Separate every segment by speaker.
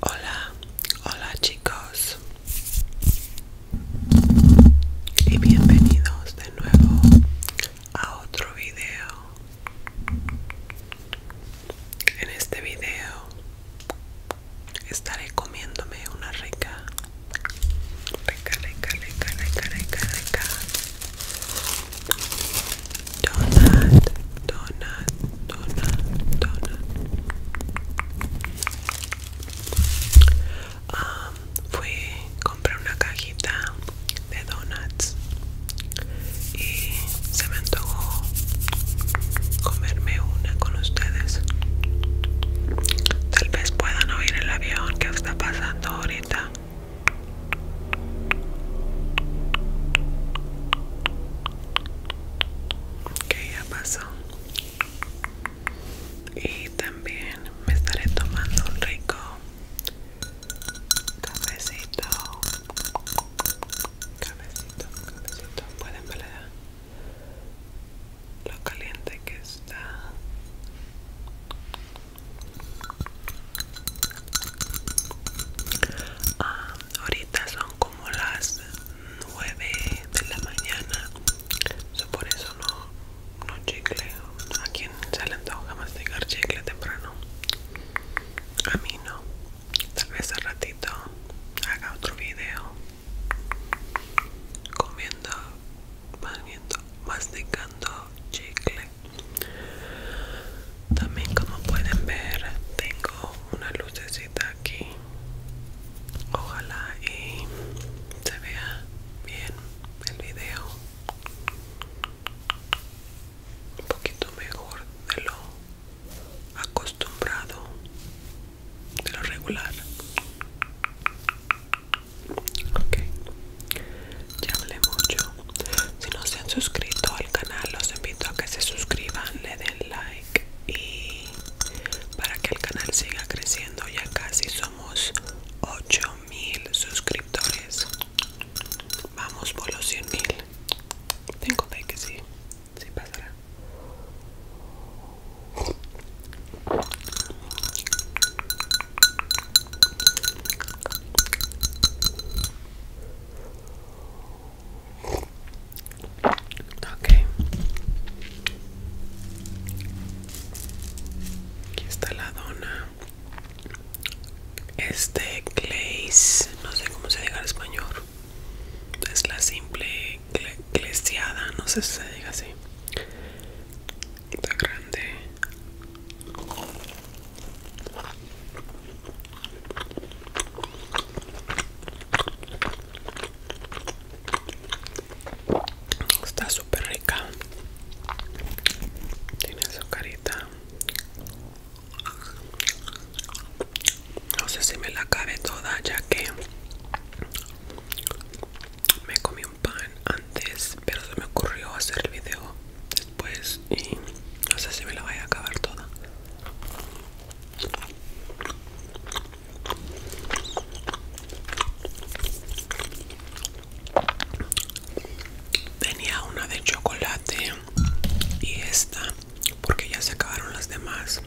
Speaker 1: Hola, hola chicos y bienvenidos de nuevo a otro video. En este video estaré comiéndome una rica, rica, rica, rica, rica, rica, rica Donut, donut, donut, donut. Um, fui, compré una cajita de donuts y se me antojó comerme una con ustedes. Tal vez puedan oír el avión que está pasando ahorita. Ok, ya pasó. Y también me estaré tomando un rico cafecito. Cafecito, cafecito. Pueden ver lo caliente que está. Ah, ahorita son como las 9 de la mañana. por eso no, chicle. ¿A quien se le a masticar chicle temprano? A mí no. Tal vez al ratito haga otro video comiendo, masticando chicle. También como pueden ver tengo una lucecita aquí. Ojalá y se vea bien el video. Un poquito mejor de lo acostumbrado, de lo regular. Okay. Ya hablé mucho. Si no se han suscrito al canal, los invito a que se suscriban, le den like y para que el canal siga creciendo. Ya casi somos 8000 suscriptores. Vamos por los 100.000. Tengo fe que sí, sí pasará. Ok. Aquí está la dona. Este glaze, no sé cómo se diga en español. Es la simple glaseada, no sé si se diga así. Está grande. Está súper rica. Tiene su carita. No sé si me la cabe toda ya que me comí un pan antes, pero se me ocurrió hacer el video pues, y no sé si me la vaya a acabar toda. Tenía una de chocolate y esta porque ya se acabaron las demás.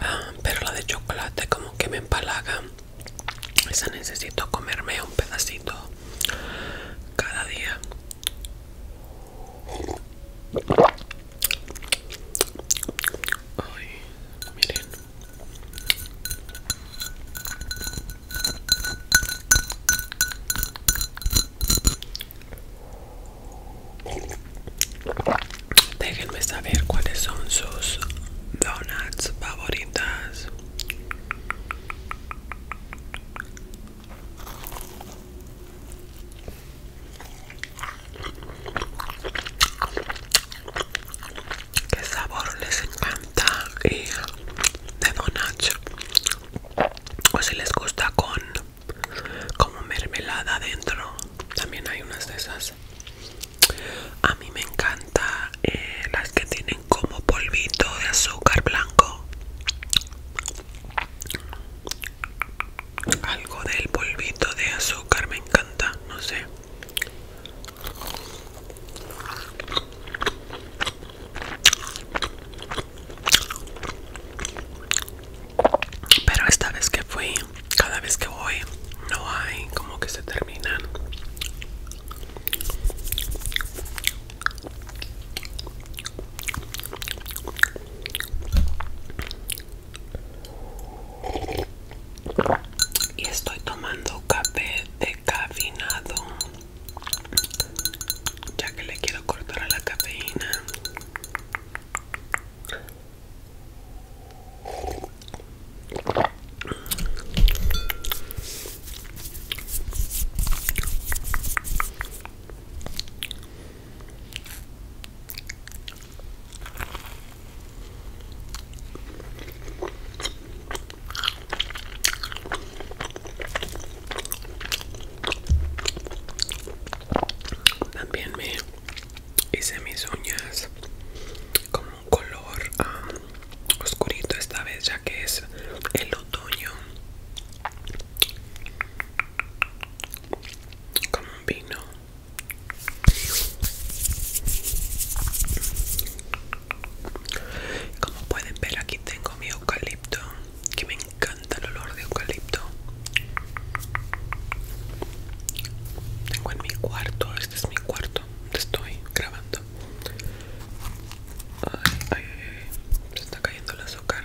Speaker 1: Ah, pero la de chocolate como que me empalaga esa necesito comerme un pedacito cada día. Déjenme saber cuáles son sus donuts favoritas. Qué sabor les encanta de donuts o si les gusta con como mermelada adentro también hay unas de esas a mí me encanta eh, las que tienen como polvito de azúcar blanco. Algo del polvito de azúcar me encanta, no sé. Pero esta vez que fui cada vez que voy no hay como que se terminan y estoy tomando café decafinado ya que le quiero cortar a la cafeína también me hice mis uñas con un color oscurito esta vez ya que es el otoño como un vino como pueden ver aquí tengo mi eucalipto que me encanta el olor de eucalipto tengo en mi cuarto, este es mi cuarto, estoy grabando. ay, ay, se está cayendo el azúcar.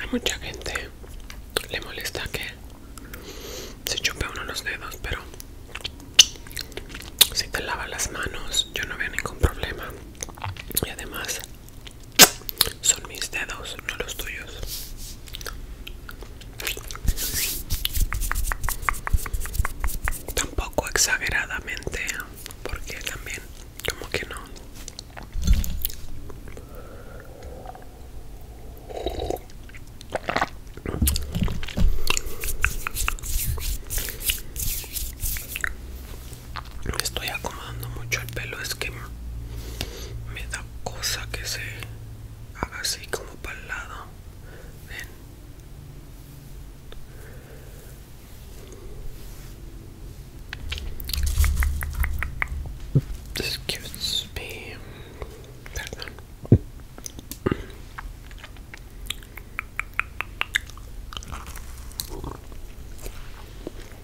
Speaker 1: Hay mucha gente le molesta que se chupe uno los dedos, pero si te lava las manos, yo no veo ningún problema. Y además, son mis dedos, no los tuyos. Tampoco exageradamente, porque también como que no estoy acomodando mucho el pelo es que me da cosa que se haga así como para el lado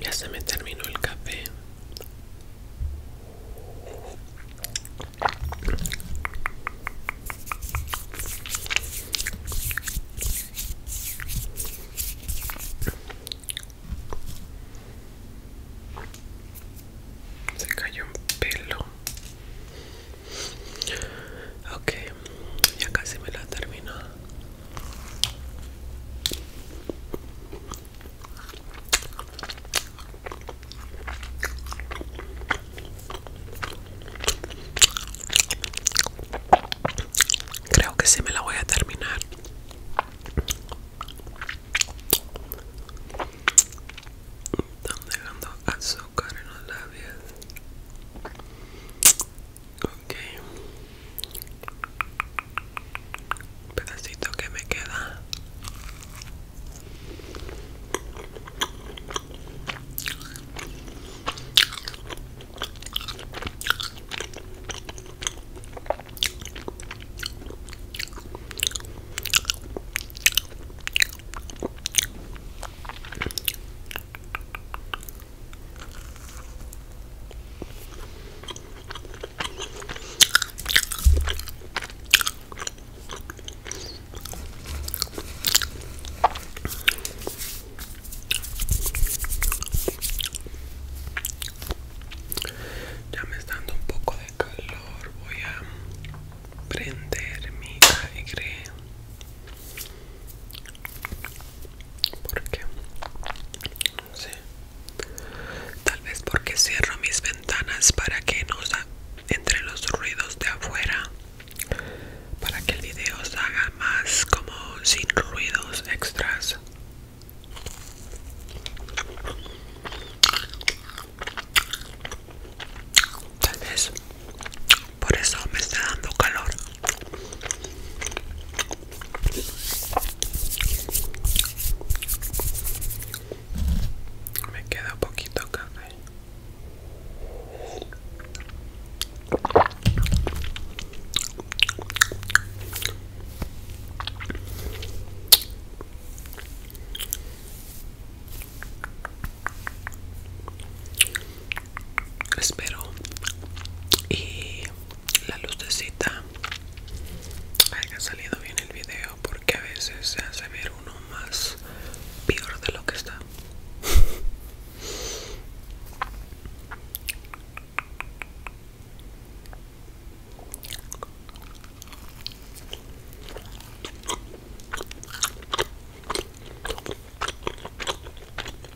Speaker 1: Ya se me terminó el café. Se cayó un pelo. Ok, ya casi me la termino. Creo que sí me la voy a terminar. Están dejando azúcar en los labios. Ok pedacito que me queda ya me está dando un poco de calor. Voy a prender mi aire porque no sé Tal vez porque cierro mis ventanas para que no entre los ruidos de afuera, para que el video se haga más como sin ruidos extras. Tal vez por eso me está dando calor. Me queda poquito café. Espero y la lucecita ha salido bien el video porque a veces se hace ver uno más peor de lo que está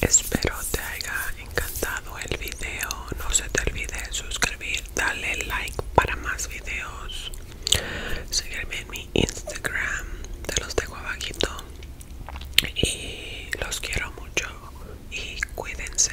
Speaker 1: Espero te haya encantado el video. No se te olvide suscribir, darle like para más videos. Seguirme en mi Instagram, te los dejo abajito. Y los quiero mucho y cuídense.